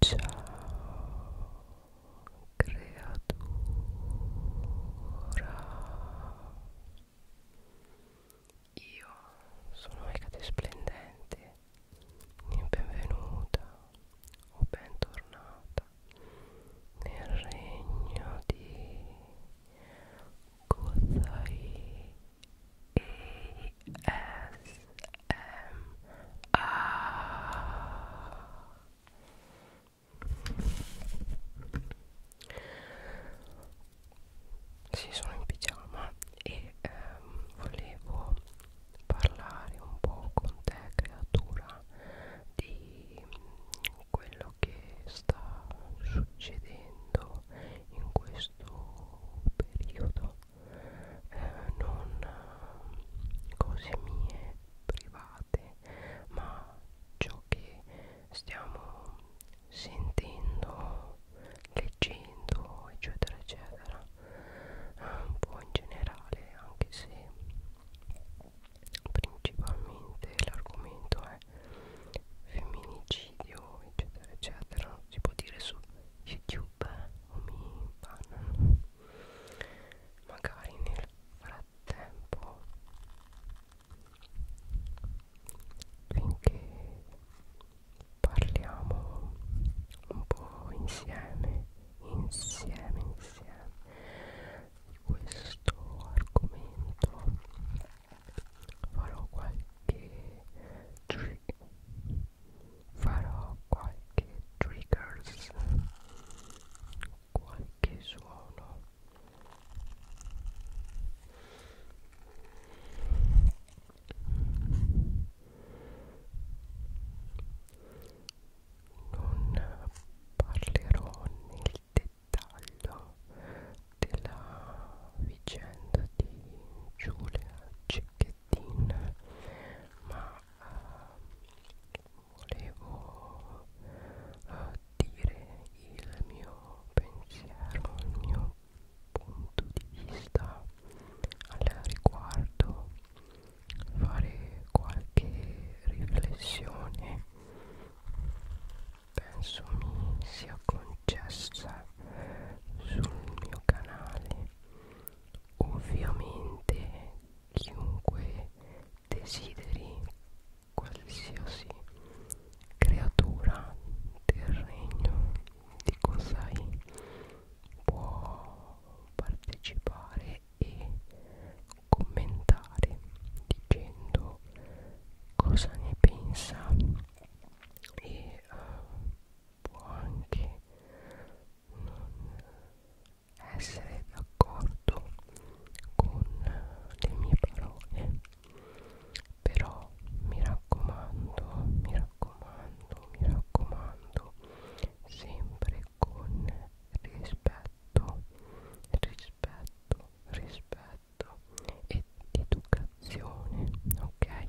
Ciao creatura Io sono Megate Splendente Benvenuta o bentornata nel regno di Gozai e sì, sono in pigiama e ehm, volevo parlare un po' con te, creatura, di quello che sta succedendo in questo periodo eh, non eh, cose mie private ma ciò che stiamo sentendo leggendo eccetera eccetera eh, un po' in generale anche se principalmente l'argomento è femminicidio eccetera eccetera si può dire su youtube eh, o mi bannano magari nel frattempo finché parliamo un po' insieme insieme insieme di questo argomento farò qualche trick farò qualche triggers qualche suono non parlerò nel dettaglio della vicenda di Giulia Cecchettini ma volevo uh, dire il mio pensiero, il mio punto di vista al riguardo, fare qualche riflessione. Penso mi sia concessa sul mio canale ovviamente chiunque desideri qualsiasi creatura del regno di Kosai può partecipare e commentare dicendo cosa ne pensa e uh, può anche non essere d'accordo con le mie parole però mi raccomando mi raccomando mi raccomando sempre con rispetto rispetto rispetto ed educazione ok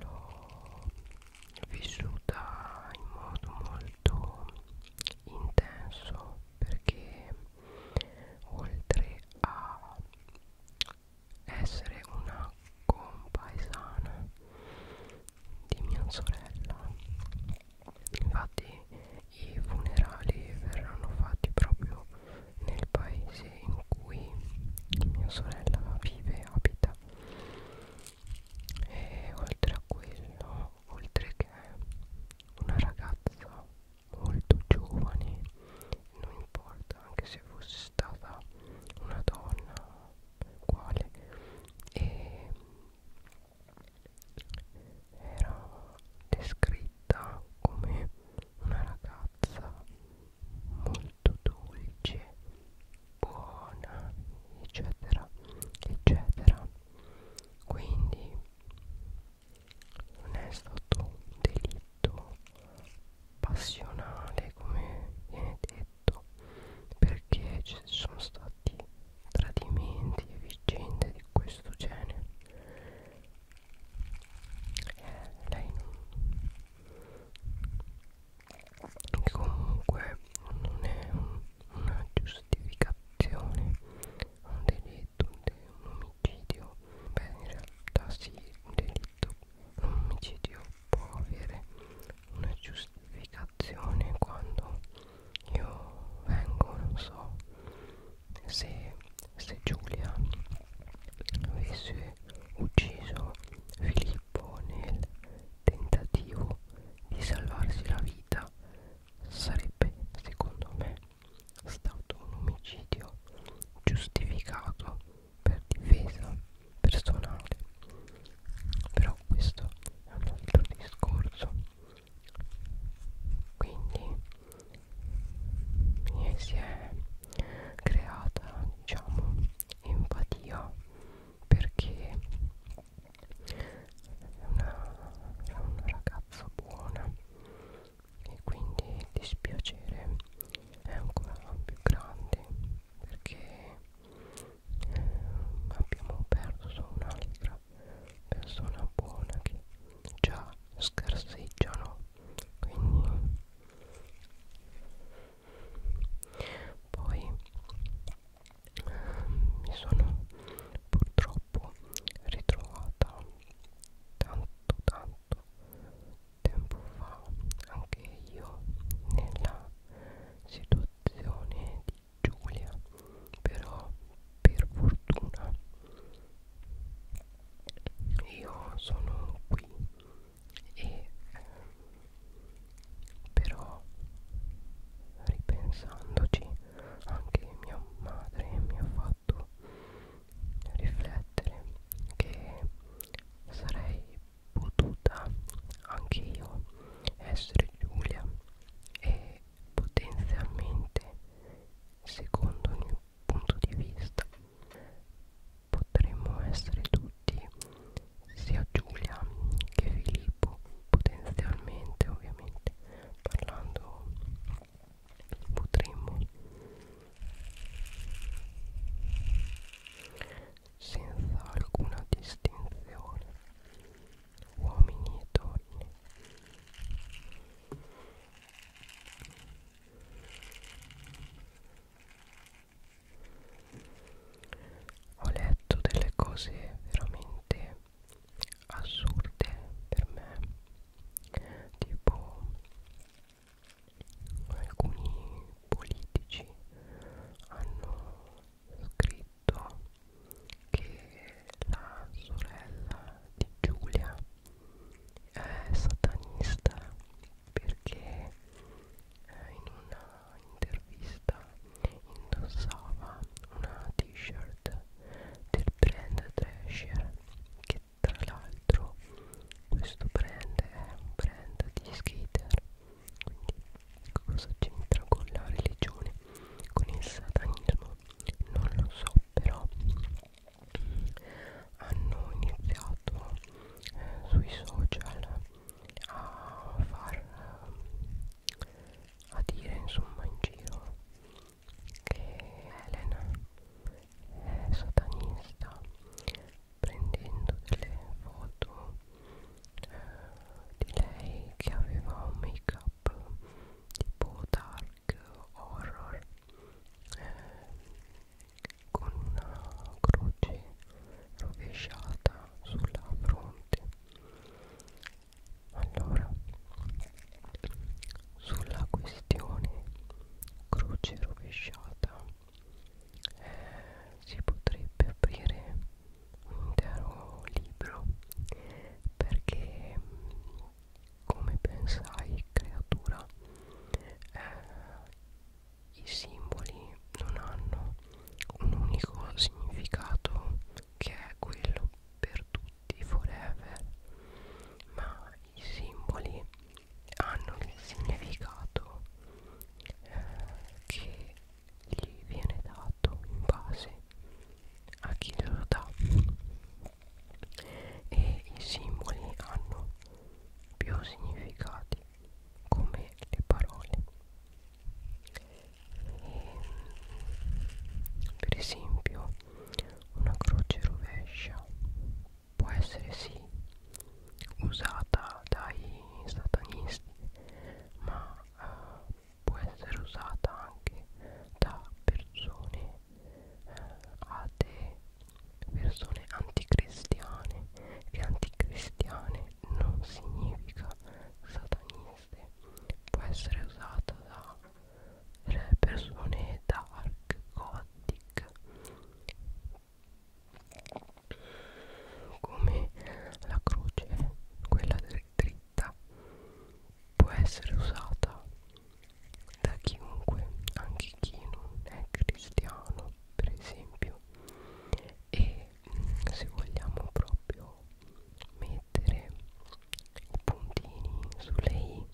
l'ho vissuta in modo molto intenso perché oltre a essere una compaesana di mia sorella infatti i funerali verranno fatti proprio nel paese in cui mia sorella vive e abita e eh, oltre a quello oltre che una ragazza molto giovane non importa anche se fosse stata una donna quale e eh, era descritta come una ragazza molto dolce buona eccetera eccetera quindi non è stato un delitto passionale come viene detto perché ci sono stati tradimenti e vicende di questo genere eh, lei non che comunque non è un, una giustificazione un delitto un, de, un omicidio beh in realtà sì un delitto un omicidio può avere una giustificazione quando io vengo non so se, se Giulia avesse ucciso Filippo corpo nel tentativo di salvarsi la vita sarebbe secondo me stato un omicidio giustificato per difesa personale però questo è un altro discorso quindi eh, si è creata diciamo empatia perché è una, è una ragazza buona e quindi il dispiacere è ancora più grande perché eh, abbiamo perso un'altra persona buona che già scarseggiano quindi poi ehm, mi sono purtroppo ritrovata tanto tanto tempo fa anche io nella situazione di Giulia però per fortuna io sono qui e però ripensandoci anche mia madre mi ha fatto riflettere che sarei potuta anche io essere Giulia e potenzialmente secondo il mio punto di vista potremmo essere tutti sia Giulia che Filippo potenzialmente ovviamente parlando potremmo senza alcuna distinzione uomini e donne ho letto delle cose veramente assurde per me tipo alcuni politici hanno scritto che la sorella di Giulia è satanista perché eh, in una intervista indossava una t-shirt del brand Thrasher che tra l'altro questo brand è un brand di skater quindi ecco cosa c'entra con la religione con il satanismo non lo so però mm, hanno iniziato eh, sui social a far a dire insomma in giro che Helen è satanista prendendo delle foto eh, di lei che aveva un make up tipo dark horror eh, con una croce rovesciata sulla fronte allora sulla questione croce rovesciata eh, si potrebbe aprire un intero libro perché come pensai creatura eh, i simboli non hanno un unico significato che è quello per tutti forever ma i simboli hanno il significato eh, che gli viene dato in base a chi lo dà e i simboli hanno più significati come le parole e, per esempio una croce rovescia può essere sì usata dai satanisti ma eh, può essere usata anche da persone eh, atee persone anticristiane e anticristiane non significa sataniste può essere usata da persone dark gothic come la croce quella dritta può essere usata da chiunque anche chi non è cristiano per esempio e mh, mm, se vogliamo proprio mettere i puntini sulle i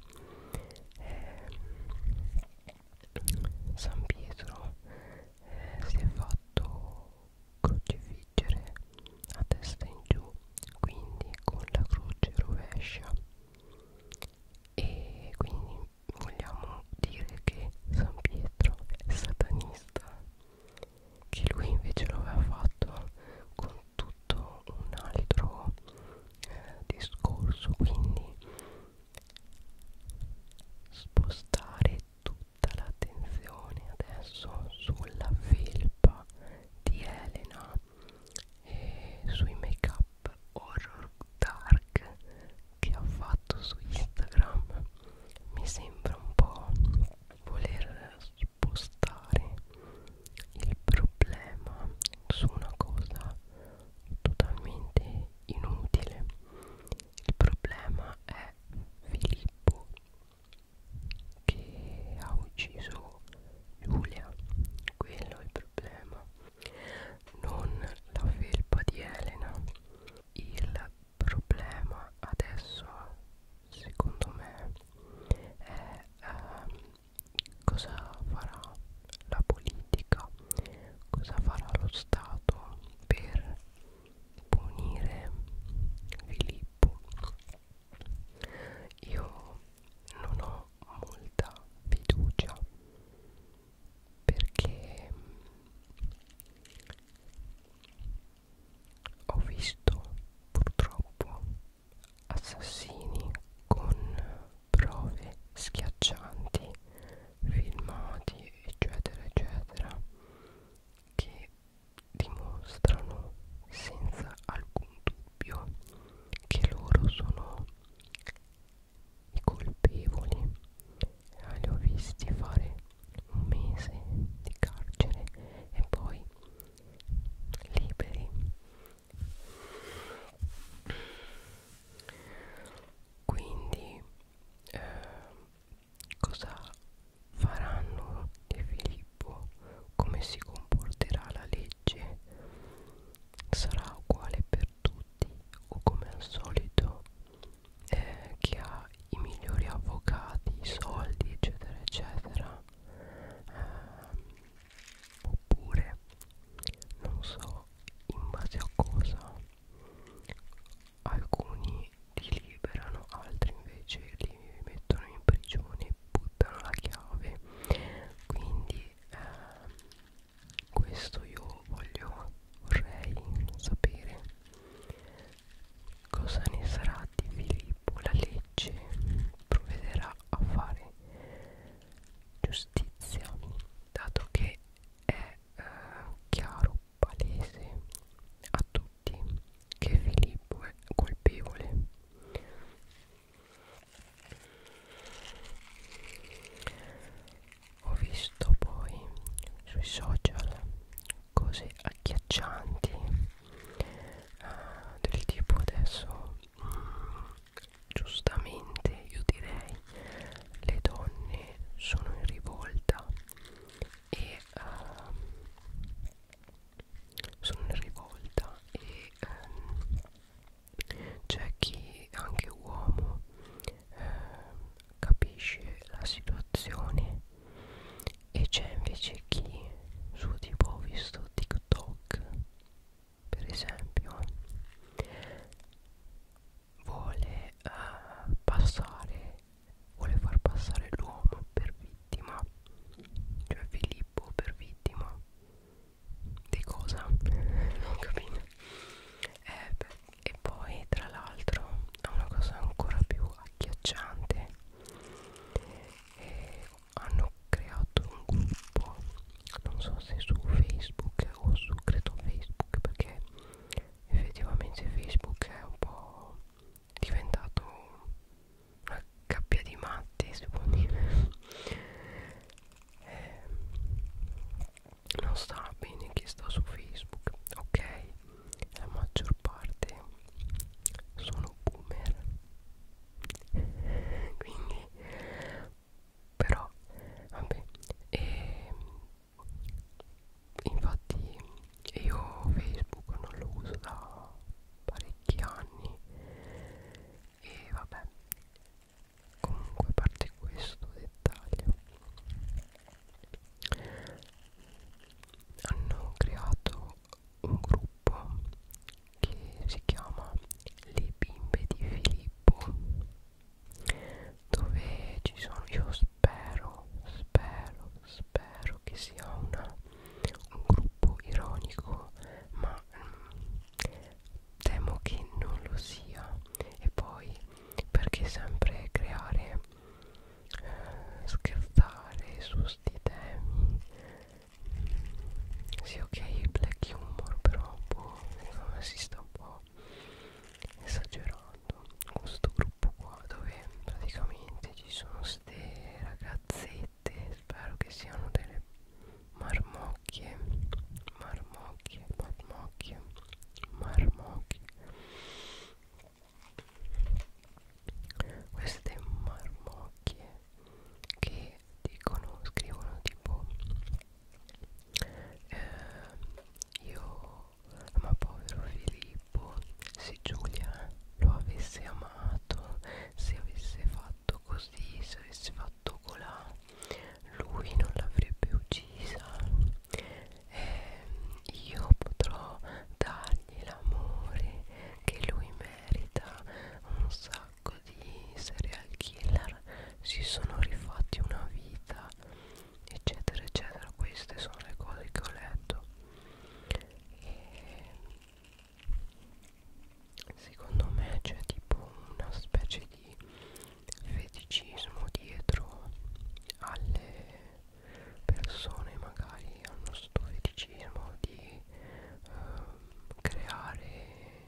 eh, San Pietro eh, si è fatto crocifiggere a testa in giù quindi con la croce rovescia e quindi vogliamo dire che San Pietro è satanista che lui invece lo aveva fatto con tutto un altro eh, discorso quindi spostare tutta l'attenzione adesso sulla felpa di Elena e sui make up horror dark che ha fatto su Instagram mi sembra un po' voler spostare il problema su una cosa totalmente inutile il problema è Filippo che ha ucciso Giulia quello è il problema non la felpa di Elena il problema adesso secondo me è ehm, cosa farà la politica cosa farà lo Stato per punire Filippo io non ho molta fiducia perché ho visto purtroppo assassini con prove schiaccianti filmati eccetera eccetera che dimostrano senza alcun dubbio che loro sono i colpevoli eh, li ho visti fare un mese di carcere e poi liberi quindi eh, cosa faranno di Filippo come si comporterà la legge sarà uguale per tutti o come al solito eh, che ha i migliori avvocati, i soldi, eccetera, eccetera. Eh, oppure, non so in base a cosa, alcuni li liberano, altri invece li mettono in prigione, buttano la chiave. Quindi, eh, questo io voglio vorrei sapere cosa ne sarà di Filippo la legge provvederà a fare giustizia dato che è eh, chiaro palese a tutti che Filippo è colpevole ho visto poi sui social cose agghiaccianti uh, del tipo adesso mm, giustamente io direi le donne sono in rivolta e uh, sono in rivolta e um, c'è chi anche uomo eh, capisce la situazione e c'è invece chi su tipo ho visto TikTok per esempio vuole uh, passare vuole far passare l'uomo per vittima cioè Filippo per vittima di cosa? non capito eh beh e poi tra l'altro ha una cosa ancora più agghiacciante e hanno creato un gruppo non so se su facebook o su credo facebook perché effettivamente facebook è un po' diventato una gabbia di matti si può dire eh, non sta bene chi sta su Facebook, ok? La maggior parte sono boomer, quindi però vabbè e, ehm, infatti io Facebook non lo uso da parecchi anni e vabbè comunque a parte questo dettaglio hanno creato un gruppo che si chiama Le bimbe di Filippo dove ci sono io spero spero spero che sia una, un gruppo ironico ma mm, temo che non lo sia e poi perché sempre creare eh, scherzare su sti temi sì ok black humor però boh, secondo me si sta un po' esagerando questo gruppo qua dove praticamente ci sono ste ragazzette spero che siano delle marmotte marmocchie marmocchie marmocchie marmocchie queste marmocchie che dicono scrivono tipo eh, io ma povero Filippo se Giulia lo avesse amato se avesse fatto così se avesse fatto Chocolat lui non l'avrebbe uccisa e io potrò dargli l'amore che lui merita un sacco di serial killer si sono rifatti una vita eccetera eccetera queste sono le cose che ho letto e secondo me c'è tipo una specie di feticismo dietro alle persone magari hanno sto feticismo di ehm, creare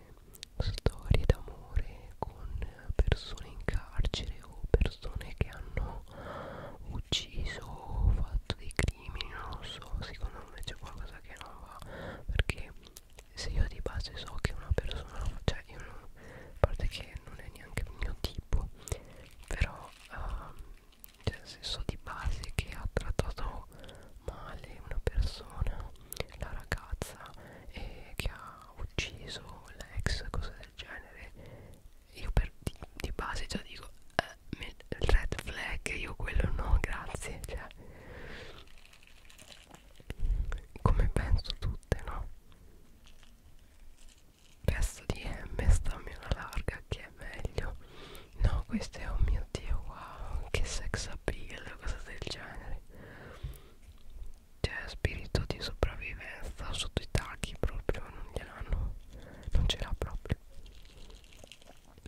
storie d'amore con persone in carcere o persone che hanno ucciso o fatto dei crimini non lo so secondo me c'è qualcosa che non va perché se io di base so che una persona cioè io non, a parte che non è neanche il mio tipo però uh, cioè, se so di base che ha trattato male una persona la ragazza e che ha ucciso l'ex cose del genere io per, di, di base già dico eh, red flag io quello no grazie cioè come penso tutte no pezzo di M stammi una larga che è meglio no questo è oh mio dio wow che sex appeal cosa del genere cioè spirito di sopravvivenza sotto i tacchi proprio non gliel'hanno non ce l'ha proprio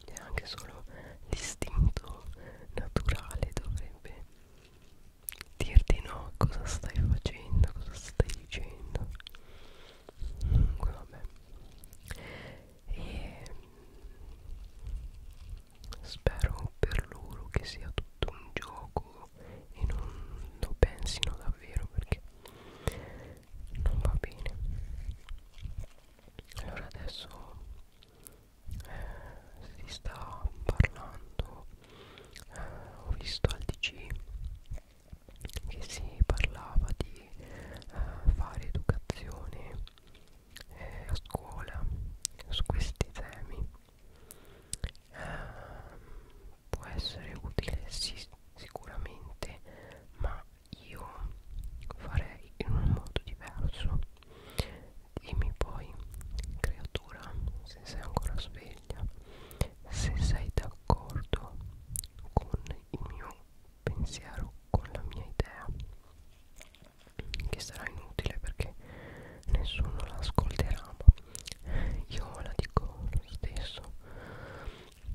e anche solo l'istinto naturale dovrebbe dirti no cosa stai facendo cosa stai dicendo comunque vabbè e mm, spero per loro che sia tutto un gioco e non lo pensino davvero perché non va bene allora adesso si sta parlando eh, ho visto al DC che si parlava di eh, fare educazione eh, a scuola su questi temi eh, può essere utile sì, sicuramente ma io farei in un modo diverso Dimmi poi, creatura, se sei ancora sveglia, se sei d'accordo con il mio pensiero, con la mia idea, che sarà inutile perché nessuno la ascolterà, ma io la dico lo stesso.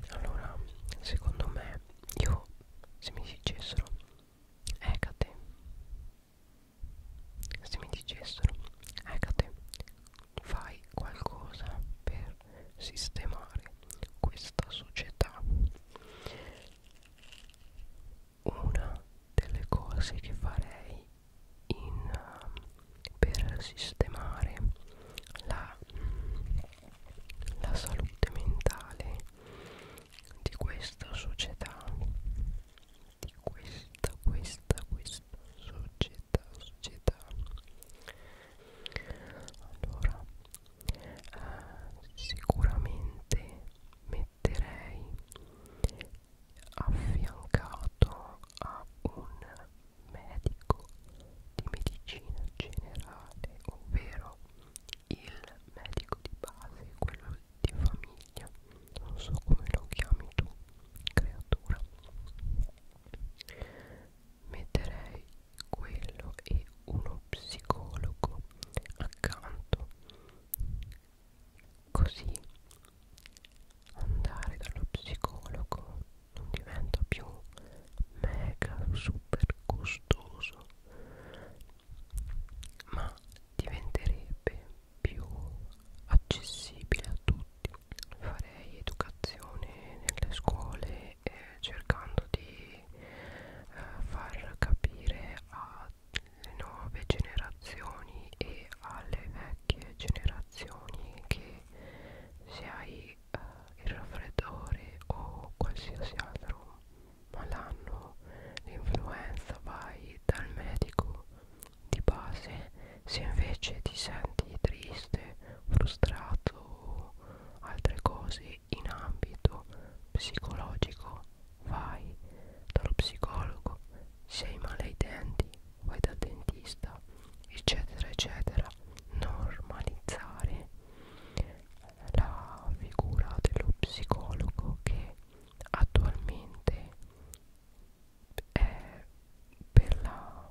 Allora, secondo me, io se mi dicessero Ecate se mi dicessero Ecate fai qualcosa per sistemare questa società una delle cose che farei in, per sistemare la, la salute mentale di questa società di questa, questa, questa società, società. Allora, eh, sicuramente metterei affiancato a un medico di medicina generale, ovvero il medico di base, quello di famiglia non so come lo chiami tu creatura metterei quello e uno psicologo accanto così andare dallo psicologo non diventa più mega super costoso ma diventerebbe più accessibile a tutti farei educazione nelle scuole eh, cercando di eh, far capire alle nuove generazioni e alle vecchie generazioni che se hai eh, il raffreddore o qualsiasi altro malanno l'influenza vai dal medico di base se invece ti senti triste frustrato o altre cose in ambito psicologico vai dallo psicologo sei male ai denti vai dal dentista eccetera eccetera normalizzare la figura dello psicologo che attualmente è per la,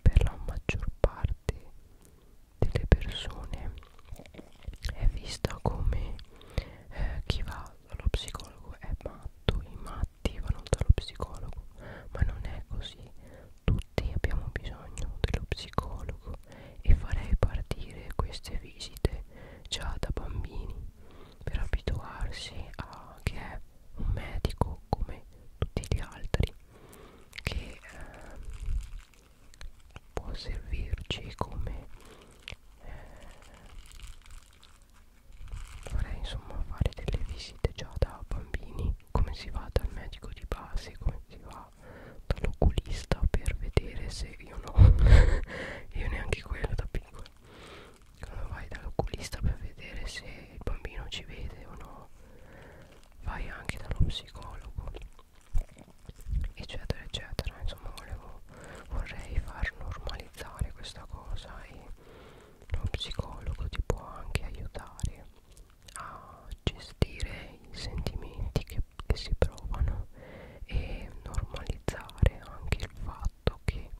per la maggior parte delle persone è vista come eh, chi va dallo psicologo è matto, i matti vanno dallo psicologo, ma non è così. Tutti abbiamo bisogno dello psicologo e farei partire queste visite già da bambini per abituarsi a che è un medico come tutti gli altri che eh, può servirci come eh, vorrei insomma fare delle visite già da bambini come si va dal medico di base come si va dall'oculista per vedere se io no io neanche quello da piccola allora vai dall'oculista per vedere se il bambino ci vede o no vai anche dallo psicologo eccetera eccetera insomma volevo, vorrei far normalizzare questa cosa e lo psicologo ti può anche aiutare a gestire i sentimenti che, che si provano e normalizzare anche il fatto fatto che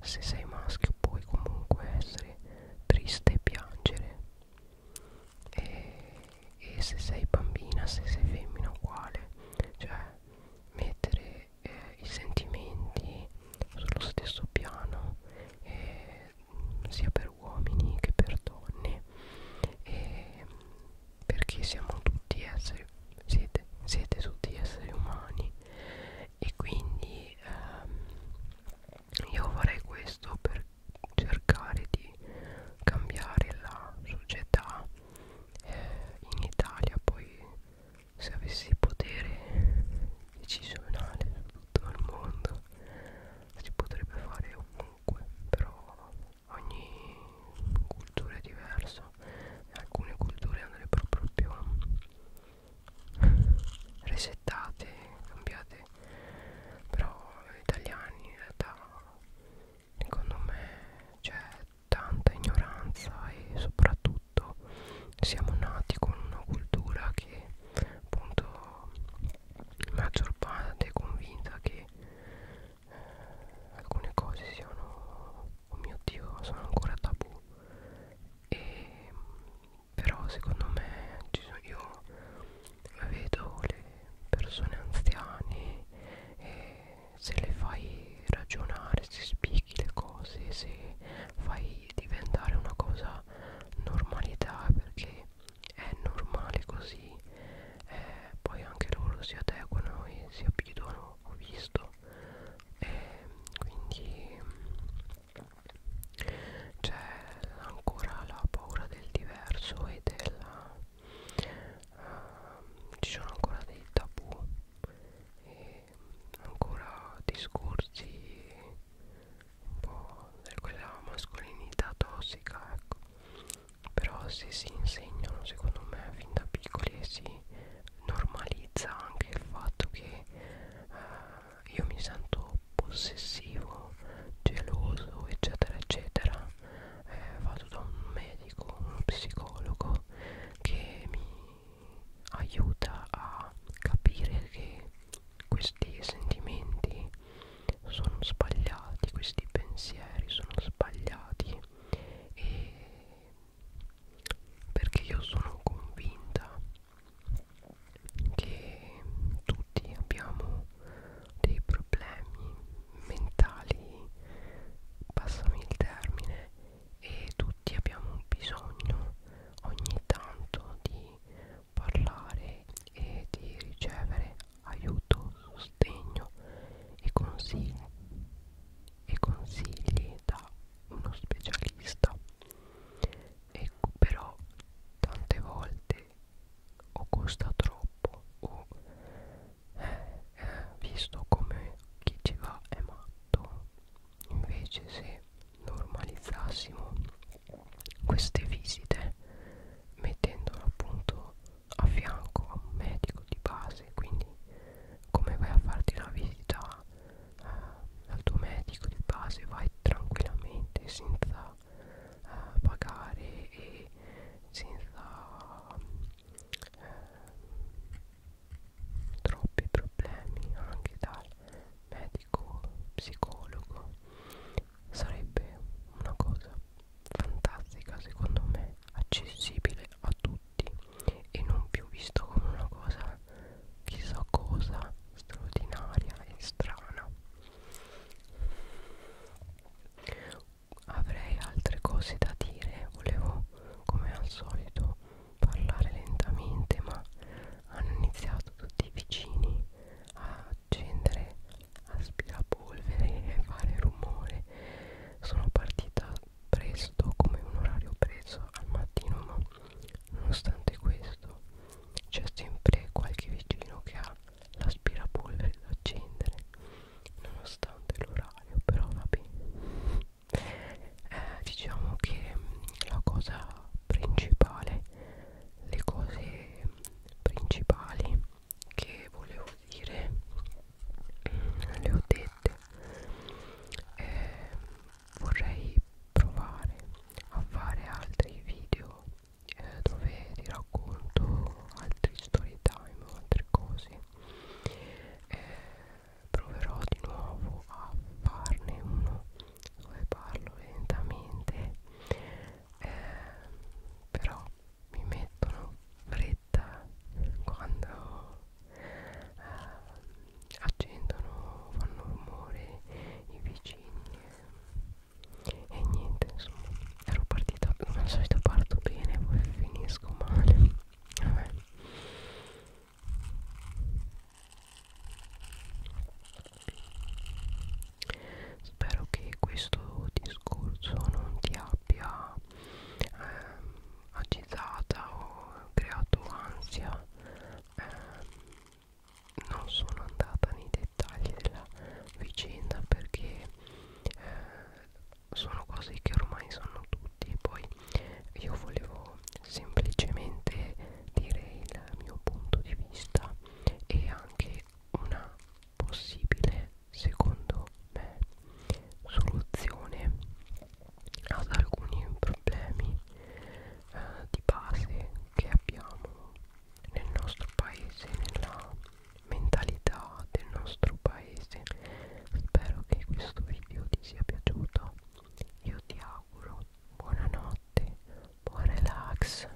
se sei maschio puoi comunque essere triste e piangere e, e se sei bambina, se sei femmina uguale cioè mettere eh, i sentimenti sullo stesso piano eh, sia per uomini che per donne e perché siamo tutti esseri siete, siete tutti esseri umani e quindi ehm, io farei questo per cercare di cambiare la società eh, in Italia poi se avessi potere decisionale su tutto il mondo si potrebbe fare ovunque però ogni cultura è diversa alcune culture andrebbero proprio resettate, cambiate, però gli italiani in realtà secondo me c'è tanta ignoranza e soprattutto siamo nati con una cultura che appunto la maggior parte è convinta che eh, alcune cose siano oh mio dio sono ancora tabù e, però secondo me io vedo le persone anziane e se le fai ragionare se spieghi le cose se fai diventare una cosa normalità perché è normale così eh, poi anche loro si adeguano e si abituano ho visto e quindi c'è ancora la paura del diverso e della uh, ci sono ancora dei tabù e ancora discorsi un po' di quella mascolinità tossica ecco però se si insegnano secondo me fin da piccoli e si normalizza anche il fatto che eh, io mi sento possessivo, geloso, eccetera, eccetera. Eh, vado da un medico, uno psicologo che mi aiuta a capire che questi sentimenti sono sbagliati, questi pensieri sono sbagliati e perché io sono convinta che tutti abbiamo dei problemi mentali passami il termine e tutti abbiamo bisogno ogni tanto di parlare e di ricevere aiuto, sostegno e consigli e consigli da uno specialista ecco però tante volte o costa troppo o eh, eh, visto come chi ci va è matto invece se normalizzassimo queste visite mettendolo appunto a fianco a un medico di base quindi come vai a farti una visita eh, al tuo medico di base vai tranquillamente senza eh, pagare e senza eh, troppi problemi anche dal medico psicologo sarebbe una cosa fantastica secondo me accessibile a tutti tutti e non più visto come una cosa chissà cosa straordinaria e strana avrei altre cose da dire volevo come al solito parlare lentamente ma hanno iniziato tutti i vicini a accendere aspirapolvere e fare rumore sono partita presto come un orario preso al mattino ma nonostante questo c'è sempre qualche vicino che ha l'aspirapolvere da accendere nonostante l'orario però va bene eh, diciamo che la cosa principale le cose principali che volevo dire mm, le ho dette eh, vorrei provare a fare altri video eh, dove ti racconto altri story time o altre cose eh, proverò di nuovo a farne uno dove parlo lentamente eh, però mi mettono fretta fretta quando eh, accendono, fanno rumore i vicini e niente insomma ero partita come al solito parto bene poi finisco male vabbè Spero che questo discorso non ti abbia abbia ehm, agitata o creato ansia ehm, non sono andata nei dettagli della vicenda perché eh, sono cose che ormai sanno tutti poi io volevo semplicemente dire il mio punto di vista e anche una possibile secondo me soluzione ad alcuni problemi eh, di base che abbiamo nel nostro paese nella mentalità del nostro paese spero che questo video ti sia piaciuto io ti auguro buonanotte buon relax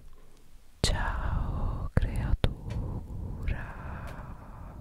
ciao creatura